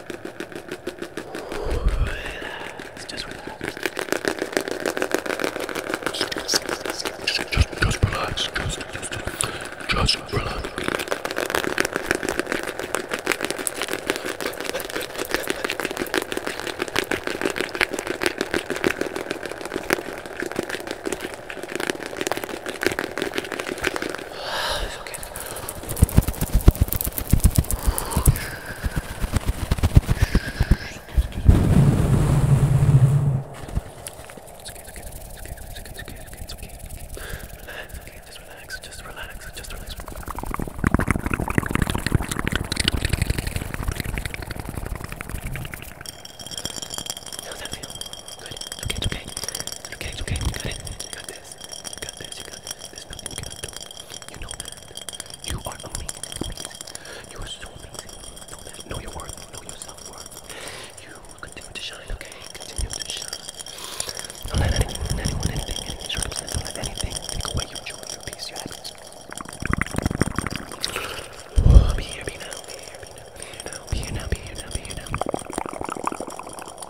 Relax, just relax. Just, just, just relax. Just, just, just, just relax. it's okay. How's that feel? Good. It's okay, it's okay. It's okay, it's okay. You got it. You got this. You got this, you got this. There's nothing you cannot do. You know that. You are amazing, amazing. You are so amazing. Know that. Know your worth. Know your self-worth. You continue to shine, okay? Continue to shine. Don't let anyone, anyone anything, any circumstance, don't let anything take away your joy, your peace, your happiness. Be here, be now, be here, be now, be here now, be here now, be here now, be here now.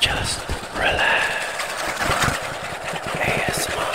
Just relax. ASMR.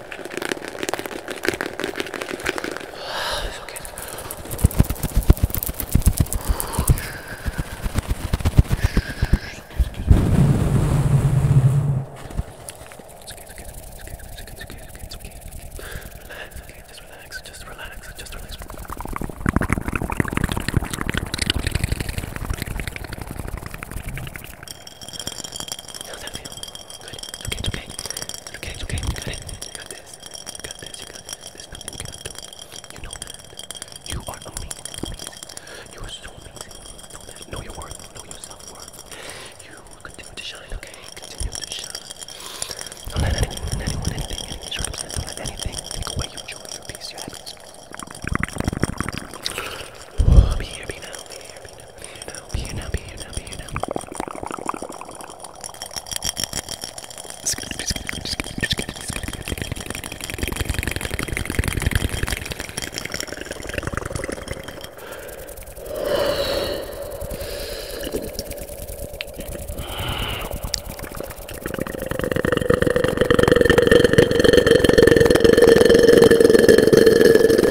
It's okay. It's okay, it's okay, it's okay, it's okay, it's okay, it's okay, it's okay. Relax, okay, just relax, just relax, just relax. How's that feel? Good. Okay, it's okay. It's okay, it's okay. You got it. You got this. You got this. You got this. There's nothing you cannot do. You know that. You are amazing. Amazing. You are so amazing. Know that. Know your worth. Know your self worth. You continue to shine, okay? Continue to shine. Don't let anyone, anyone, anything, any circumstance, don't let anything take away your joy, your peace, your happiness. Be here, be now, be here, be now. Be here now, be here now, be here now. It's good, it's good, it's good, it's good, it's good, it's good.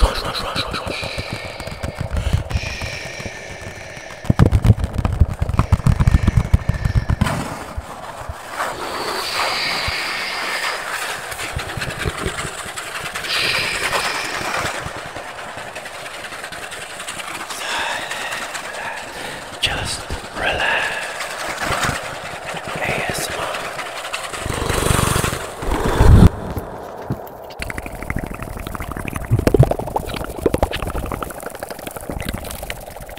Schau, schau, schau, schau, schau. Just relax. ASMR.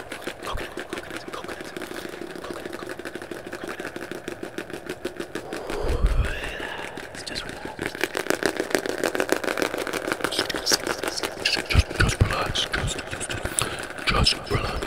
Coconut, coconut, coconut, coconut, coconut, coconut. It's just relax. Just, just, just relax. Just, just, just relax.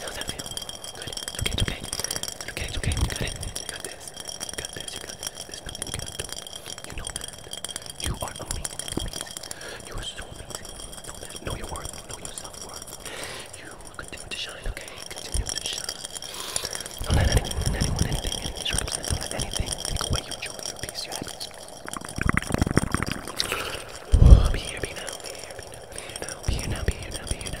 How's that feel? Good. Okay, it's okay. It's okay, it's okay. You got it. You got this. You got this. You got this. There's nothing you cannot do. You know that. You are amazing. amazing. You are so amazing. Know that. Know your worth. Know your self worth. You continue to shine, okay? Continue to shine. Don't let anyone, anyone, anything, any circumstance, don't let anything take away your joy, your peace, your happiness. Be here, be now, be here, be now. Be here now, be here now, be here now.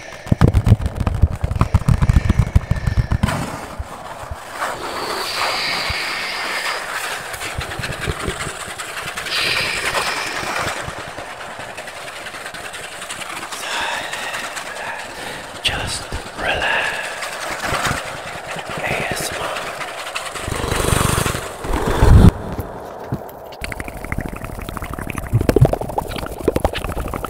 Just relax. ASMR.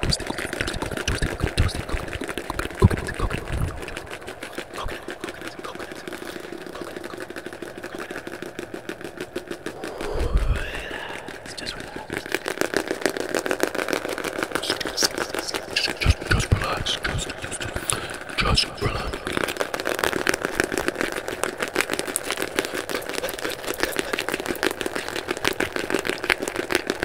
toasted coconut, toasted coconut, toasted coconut, coconut, coconut, coconut, coconut, coconut, coconut, coconut. It's just relax. Just, just, just relax. Just, just, just, just relax.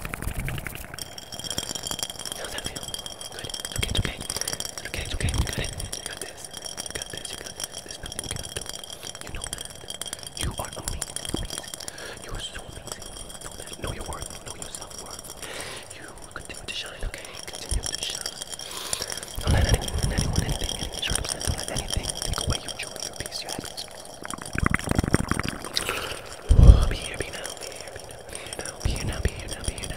How's that feel? Good. It's okay, it's okay. It's okay, it's okay. You got it. You got this. You got this. You got this. There's nothing you cannot do. You know that. You are amazing. amazing. You are so amazing. Know that. Know your worth. Know your self-worth. You continue to shine, okay? Continue to shine. Don't let anyone, anyone, anything, any circumstance, don't let anything take away your joy, your peace, your happiness. Be here, be now, be here, be now, be here now, be here now, be here now.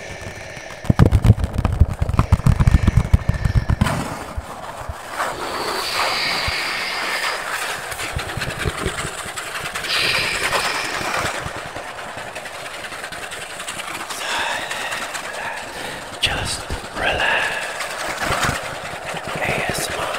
Just relax. ASMR.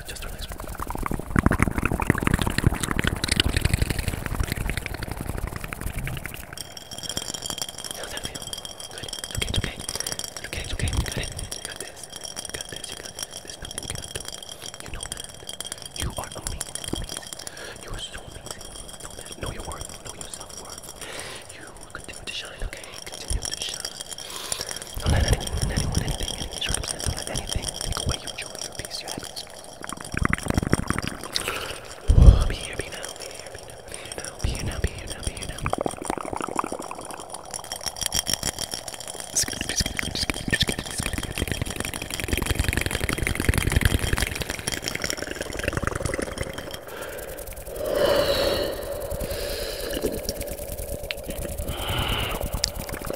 relax, just relax. How's that okay, okay. okay, okay. You got it. You got this. You got this. You got this. you cannot do. You know that. You are amazing. You are so amazing. Know your worth. Know your self-worth. You continue to shine, okay? Continue to shine. Don't let anyone, anyone, anything, any anything take away your joy, your peace, your happiness. Be here, be now, be here, be now, be here now, be here now, be here now.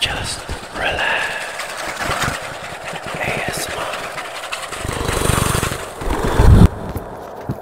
Just relax. ASMR.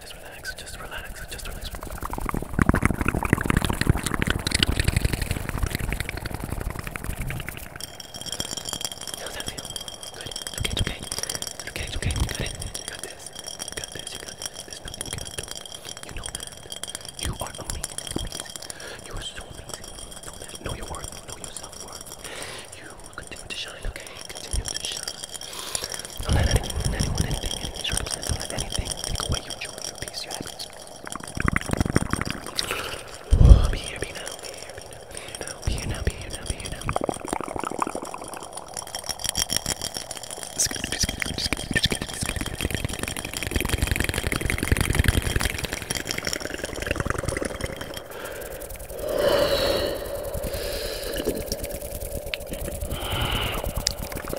just relax, just relax, just relax. How's that feel? Okay, okay. okay, okay. You got it. You got this. You got this. You got this. you cannot do. You know that. You are amazing. amazing. You are so amazing. Know Know your worth. Know your self worth. You continue to shine, okay? Continue to shine. Don't let anyone, anyone, anything, any circumstance, don't let anything take away your joy, your peace, your happiness. Oh, be here, be now, be here, be now, be here now, be here now, be here now. Be here now.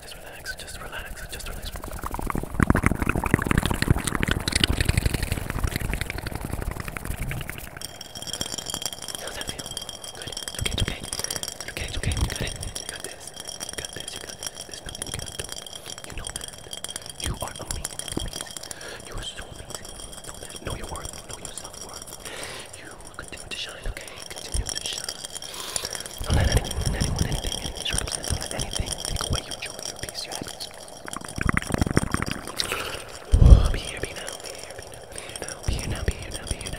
Just relax, just relax, just relax. How's that feel? Good. It's okay, it's okay. It's okay, it's okay. You got it. You got this. You got this. You got this. you cannot do. You know that. You are amazing. amazing. You are so amazing. Know your worth. Know your self worth. You Continue to shine, okay? Continue to shine. Don't let anyone, anyone, anything, any circumstance, don't anything take away your joy, your peace, your happiness. be here, be now, be here, be now, be here now, be here now, be here now.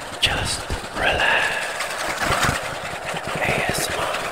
Just relax. ASMR.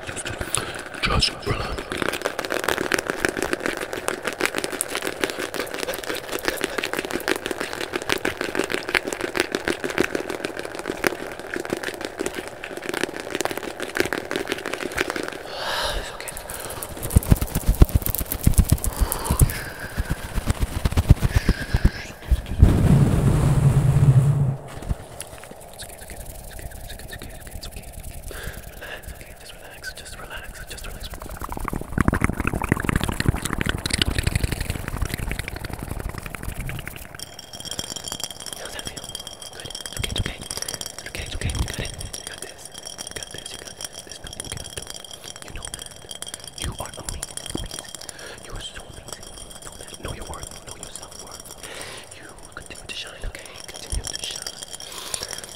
Just relax. it's okay. Excuse me. It's okay, it's okay, it's okay, it's okay, it's okay, it's okay, it's okay. Relax, okay, just relax, just relax, just relax. How's that feel? Good. It's okay, it's okay. It's okay, it's okay. You got it. You got this. You got this. You got this. There's nothing you cannot do. You know that. You are amazing. amazing. You are so amazing. Know that. Know your worth. Know your self worth. You will continue to shine, okay? Continue to shine.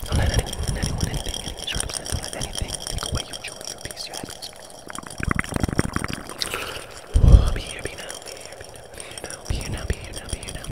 Don't let anyone, anyone, anything, any circumstance, don't let anything take away your joy, your peace, your happiness. Oh, be here, be now, be here, be now, be here now, be here now, be here now, be here now.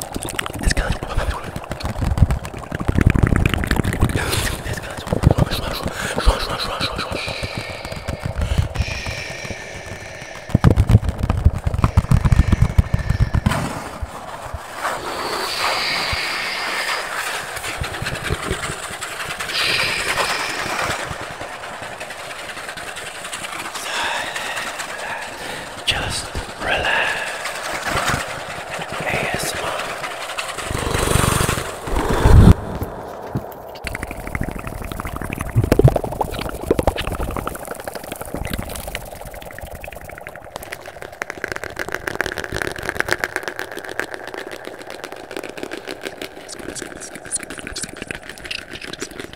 This guy's This guy's Silence. Just relax. ASMR.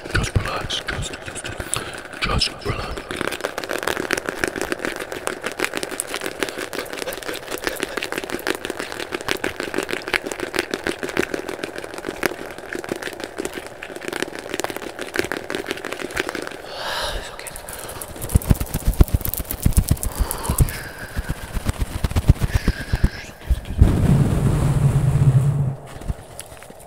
just, just relax, just, just, just relax. It's okay. Excuse me.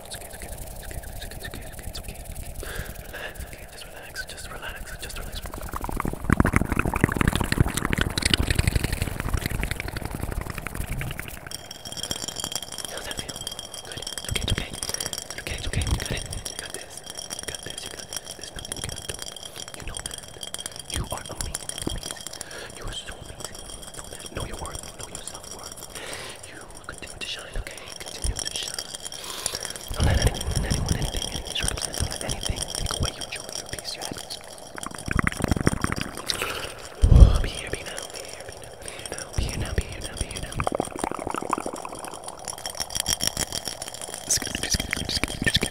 It's okay, it's okay, it's okay, it's okay, it's okay, it's okay, it's okay. Relax, okay, just relax, just relax, just relax. How's that feel? Good. It's okay, it's okay. It's okay, it's okay. You got it. You got this. You got this. You got this. There's nothing you cannot do. You know that. You are amazing. amazing. You are so amazing. Know that. Know your worth. Know your self worth. You will continue to shine, okay? Continue to shine. Don't let anyone, anyone, anything, any circumstance, do anything take away your joy, your peace, your happiness. be here, be now, be here, be now, be here now, be here now, be here now. Just kidding, just kidding, just kidding, just kidding, just kidding.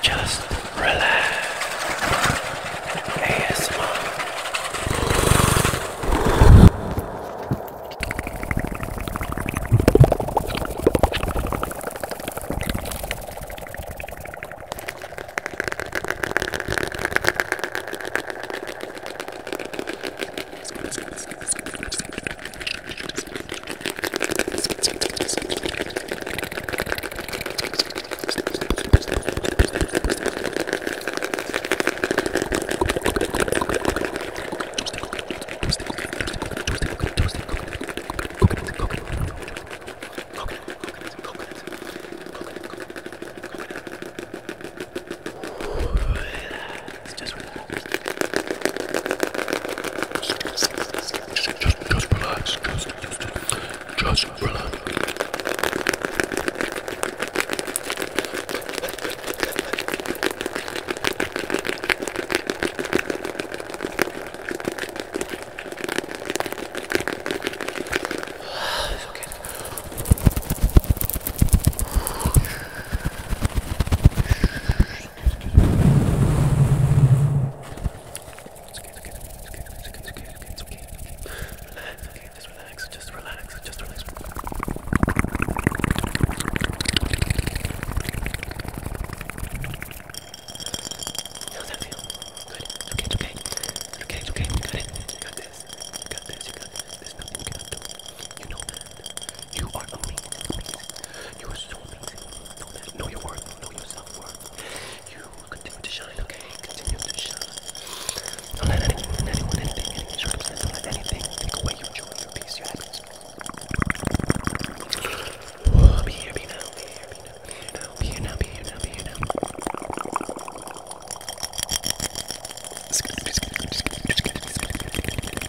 Just relax. ASMR. It's just just, just, just relax. Just, just, just relax. it's okay okay, just relax, just relax, just relax. How's that feel? Good. Okay, it's okay. It's okay, it's okay. You got it. You got this. You got this. You got this. There's nothing you cannot do. You know that. You are amazing. amazing. You are so amazing. Know your worth. Know your self-worth. You will continue to shine, okay? Continue to shine. Don't let anyone, anyone anything, any anything take away your joy, your peace, your happiness. be here, be now, be here, be now, be here be now, be here be now. Be here now.